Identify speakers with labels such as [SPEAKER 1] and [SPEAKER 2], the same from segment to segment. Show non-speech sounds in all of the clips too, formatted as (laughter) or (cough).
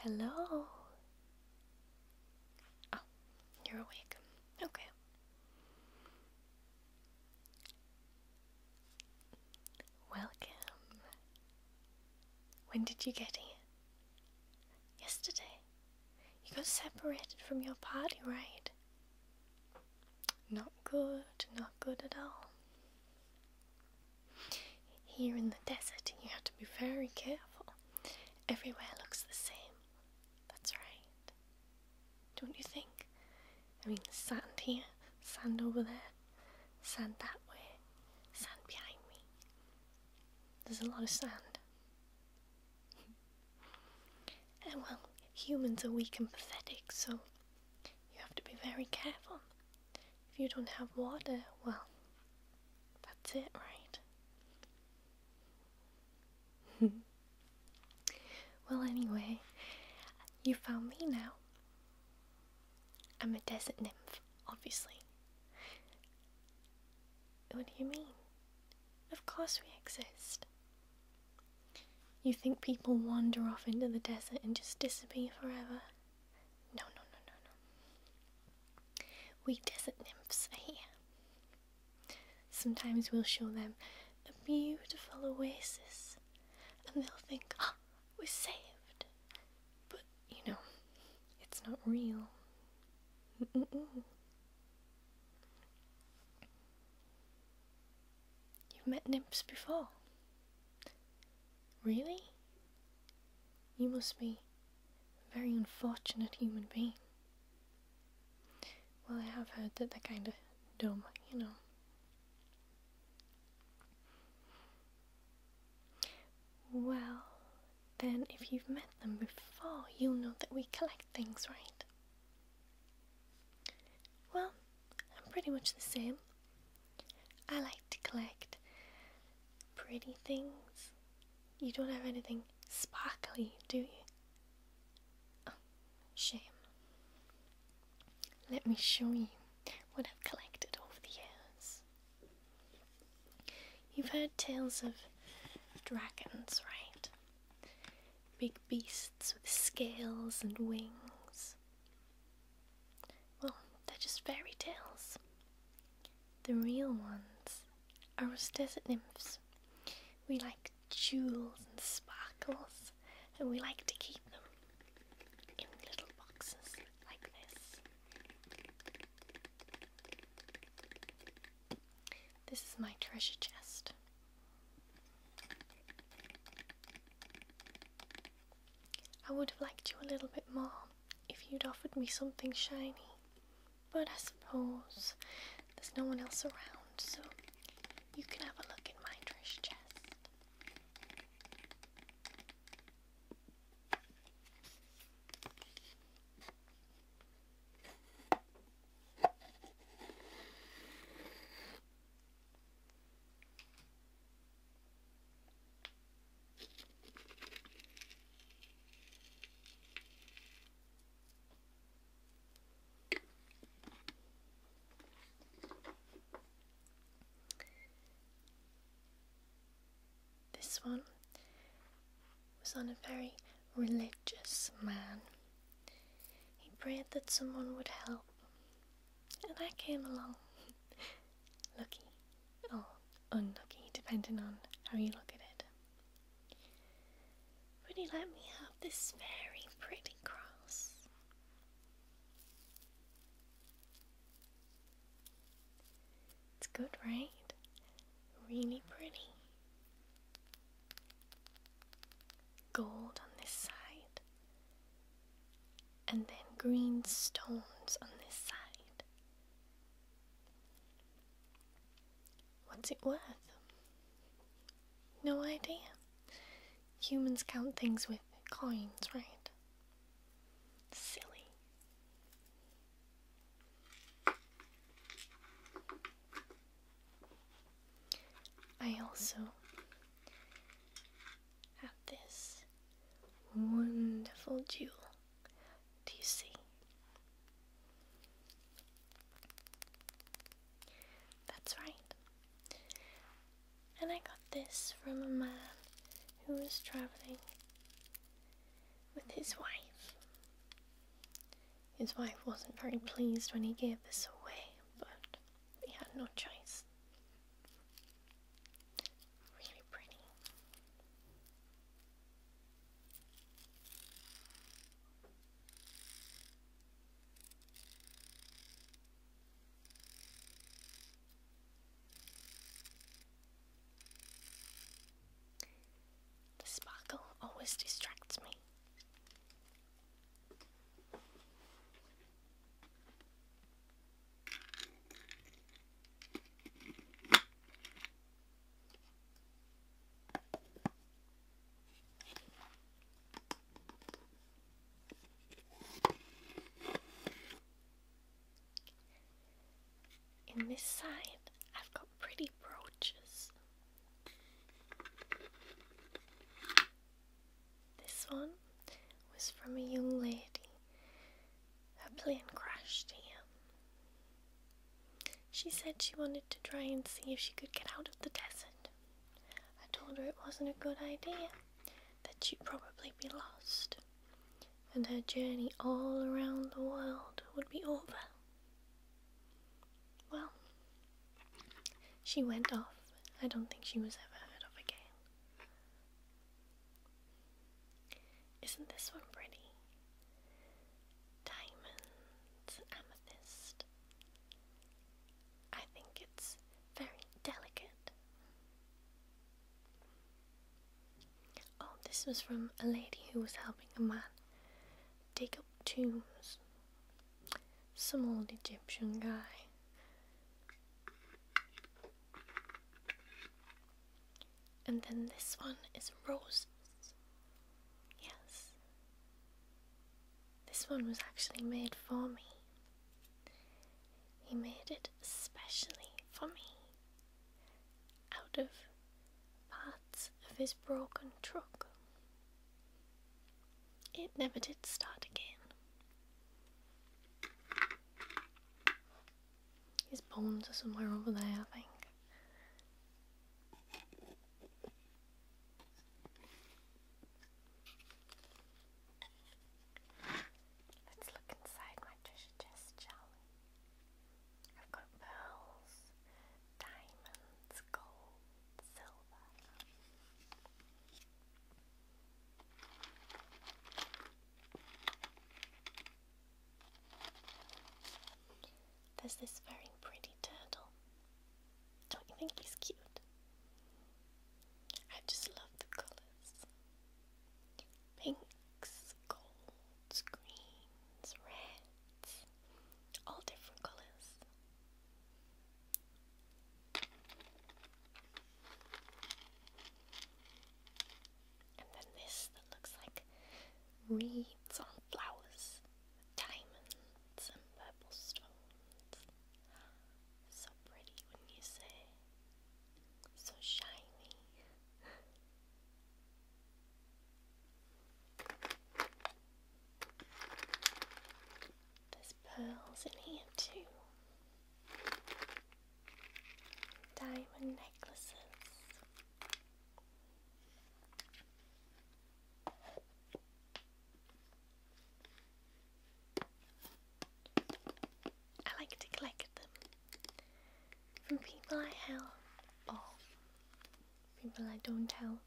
[SPEAKER 1] Hello. Hello. Oh, you're awake. Okay. Welcome. When did you get here? Yesterday. You got separated from your party, right? Not good, not good at all. Here in the desert, you have to be very careful. Everywhere looks the same. That's right don't you think? I mean, sand here, sand over there, sand that way, sand behind me. There's a lot of sand. (laughs) and well, humans are weak and pathetic, so you have to be very careful. If you don't have water, well, that's it, right? (laughs) well, anyway, you found me now. I'm a desert nymph, obviously. What do you mean? Of course we exist. You think people wander off into the desert and just disappear forever? No, no, no, no, no. We desert nymphs are here. Sometimes we'll show them a beautiful oasis and they'll think, oh, we're saved. But, you know, it's not real. You've met nymphs before. Really? You must be a very unfortunate human being. Well, I have heard that they're kind of dumb, you know. Well, then if you've met them before, you'll know that we collect things, right? Well, I'm pretty much the same. I like to collect pretty things. You don't have anything sparkly, do you? Oh, Shame. Let me show you what I've collected over the years. You've heard tales of dragons, right? Big beasts with scales and wings. Well, they're just fairy tales. The real ones are us desert nymphs. We like jewels and sparkles, and we like to keep them in little boxes like this. This is my treasure chest. I would have liked you a little bit more if you'd offered me something shiny, but I suppose there's no one else around, so you can have a look in my trash chest. This one was on a very religious man. He prayed that someone would help, and I came along. (laughs) Lucky or unlucky, depending on how you look at it. Would he let me have this very pretty cross it's good, right? Really pretty. Gold on this side, and then green stones on this side. What's it worth? No idea. Humans count things with coins, right? Silly. I also have this wonderful jewel. Do you see? That's right. And I got this from a man who was traveling with his wife. His wife wasn't very pleased when he gave this away, but he had no choice. Really pretty. The sparkle always distracts me. In this side, I've got pretty brooches. This one was from a young lady. Her plane crashed here. She said she wanted to try and see if she could get out of the desert. I told her it wasn't a good idea, that she'd probably be lost, and her journey all around the world would be over. Well, she went off. I don't think she was ever heard of again. Isn't this one pretty? Diamonds, amethyst. I think it's very delicate. Oh, this was from a lady who was helping a man dig up tombs. Some old Egyptian guy. And then this one is roses. Yes. This one was actually made for me. He made it especially for me out of parts of his broken truck. It never did start again. His bones are somewhere over there, I think. Let's look inside my treasure chest, shall I've got pearls, diamonds, gold, silver. There's this very pretty turtle. Don't you think he's cute? I just love the colors. Pinks, golds, greens, reds, all different colors. And then this that looks like reeds on flowers, diamonds and purple stones. So pretty when you say, so shiny. There's pearls in here too. Diamond necklaces. I like to collect them from people I help or people I don't help.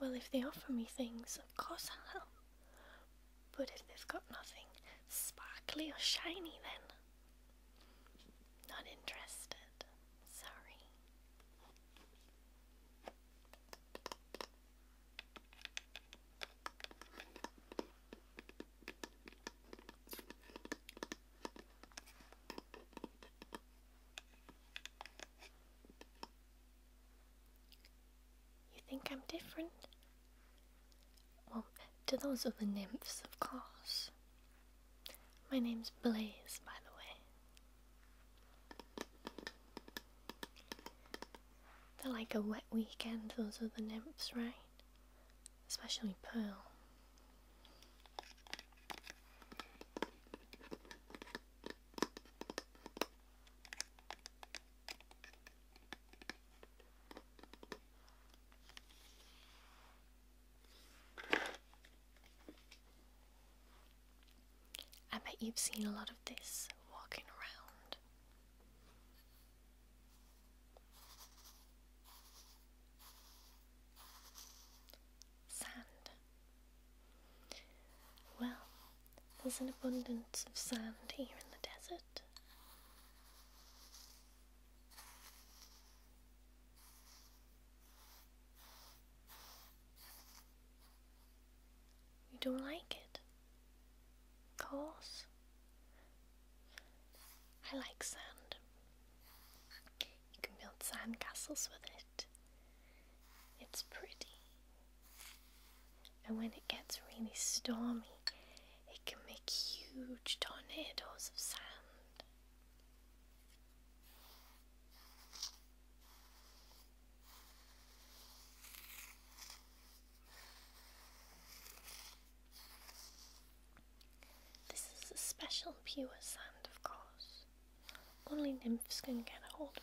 [SPEAKER 1] Well, if they offer me things, of course I'll help. But if they've got nothing sparkly or shiny, then not interested. Sorry. You think I'm different? Well, to those other nymphs, of course. My name's Blaze, by the way. They're like a wet weekend, those other nymphs, right? Especially Pearl. I bet you've seen a lot of this walking around. Sand. Well, there's an abundance of sand here in the desert. You don't like it? Of course. I like sand. You can build sand castles with it. It's pretty. And when it gets really stormy, it can make huge tornadoes of sand. This is a special pure sand, of course. Only nymphs can get a hold of it.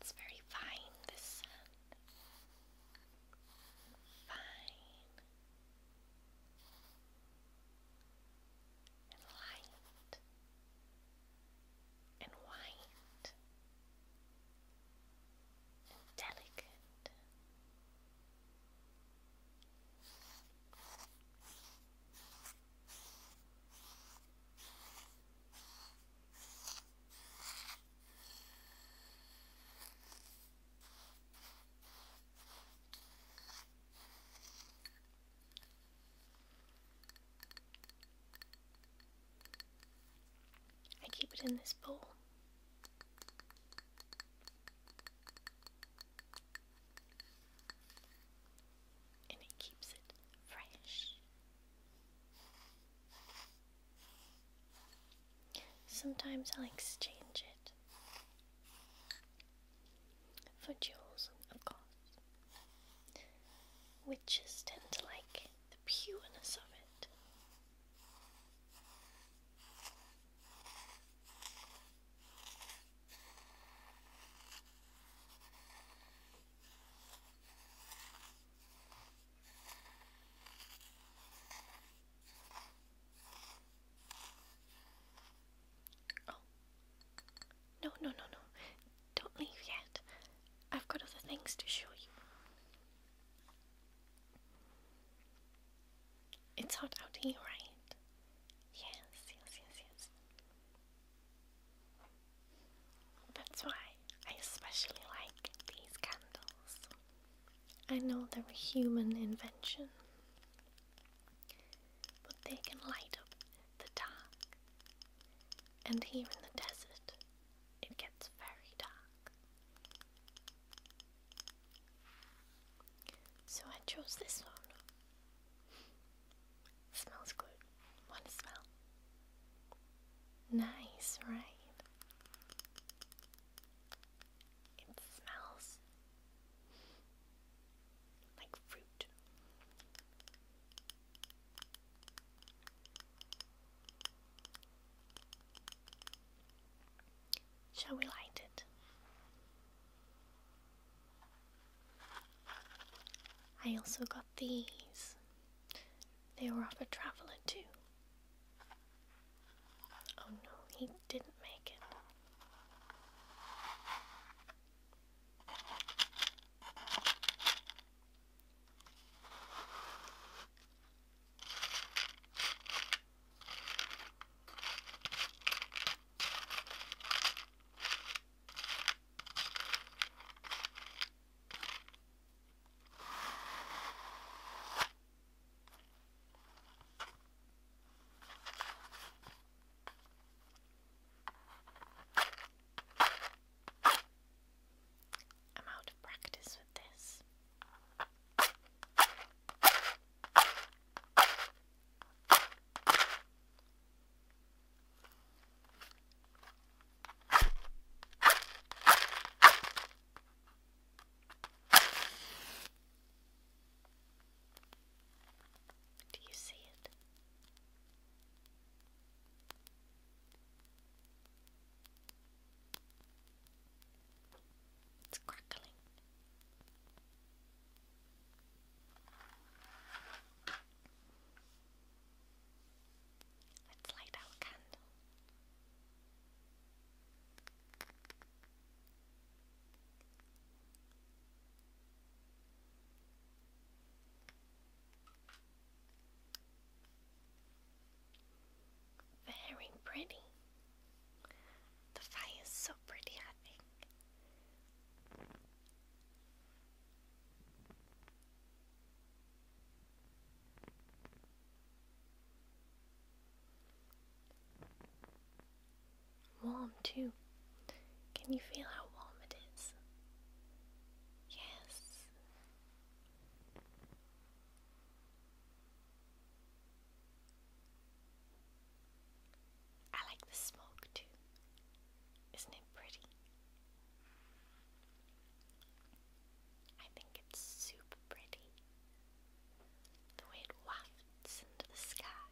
[SPEAKER 1] It's very fine, this scent. Fine and light and white and delicate. I keep it in this bowl. And it keeps it fresh. Sometimes I'll exchange it for jewels, of course. Witches tend to like the pureness of it. Oh. No, no, no, no. Don't leave yet. I've got other things to show you. It's hot out here, right? Yes, yes, yes, yes. That's why I especially like these candles. I know they're a human invention, but they can light up the dark. And here in the desert, it gets very dark. So I chose this one. smells good. Want smell? Nice, right? It smells like fruit. Shall we light it? I also got these. They were off a traveler, too. Oh no, he didn't make it. I'm out of practice with this. Do you see it? It's crackling. Let's light our candle. Very pretty. The fire is so pretty, I think. Warm too. Can you feel how warm it is? Yes. I like the smoke too. Isn't it pretty? I think it's super pretty. The way it wafts into the sky.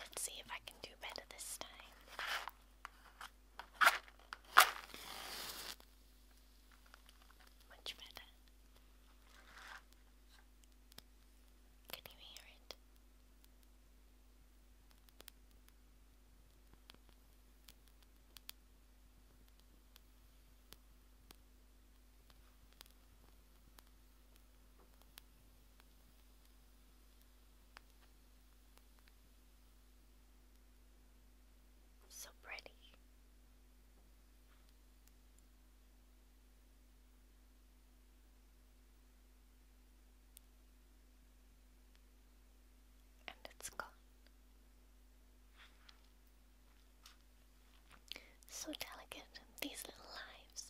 [SPEAKER 1] Let's see if I can do better this time. Much better. Can you hear it? So pretty. And it's gone. So delicate, these little lives.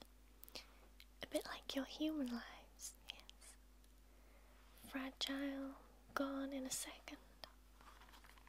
[SPEAKER 1] A bit like your human lives, yes. Fragile, gone in a second.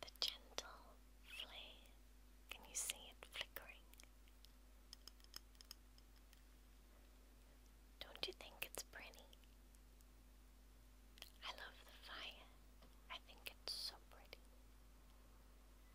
[SPEAKER 1] The gentle flare, can you see it flickering? Don't you think it's pretty? I love the fire, I think it's so pretty.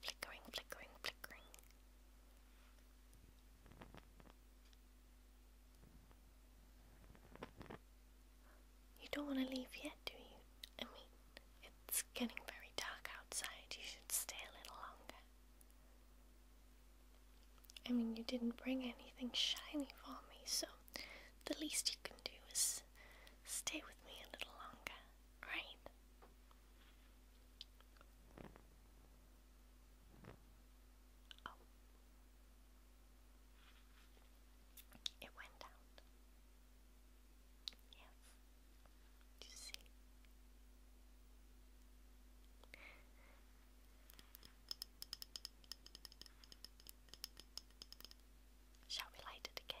[SPEAKER 1] flickering, flickering, flickering. You don't want to leave yet, do you? I mean, it's getting very dark outside. You should stay a little longer. I mean, you didn't bring anything shiny for me, so the least you can do is stay with me a little longer, right? Oh. It went out. Yes. Do you see? Shall we light it again?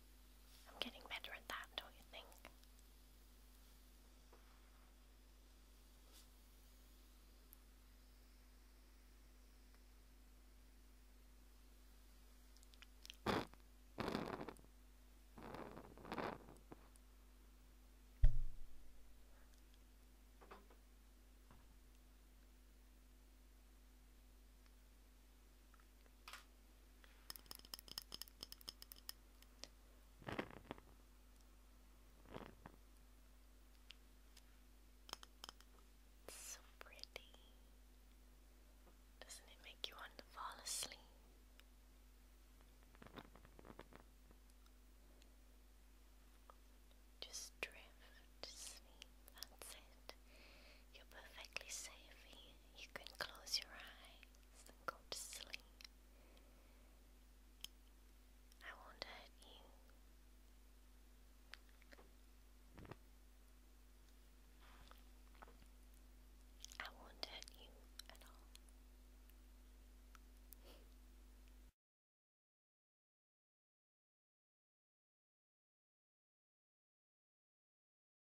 [SPEAKER 1] I'm getting better at that, don't you think? It's so pretty. Doesn't it make you want to fall asleep? Just drift to sleep, that's it. You're perfectly safe here you can close your eyes and go to sleep. I won't hurt you. I won't hurt you at all.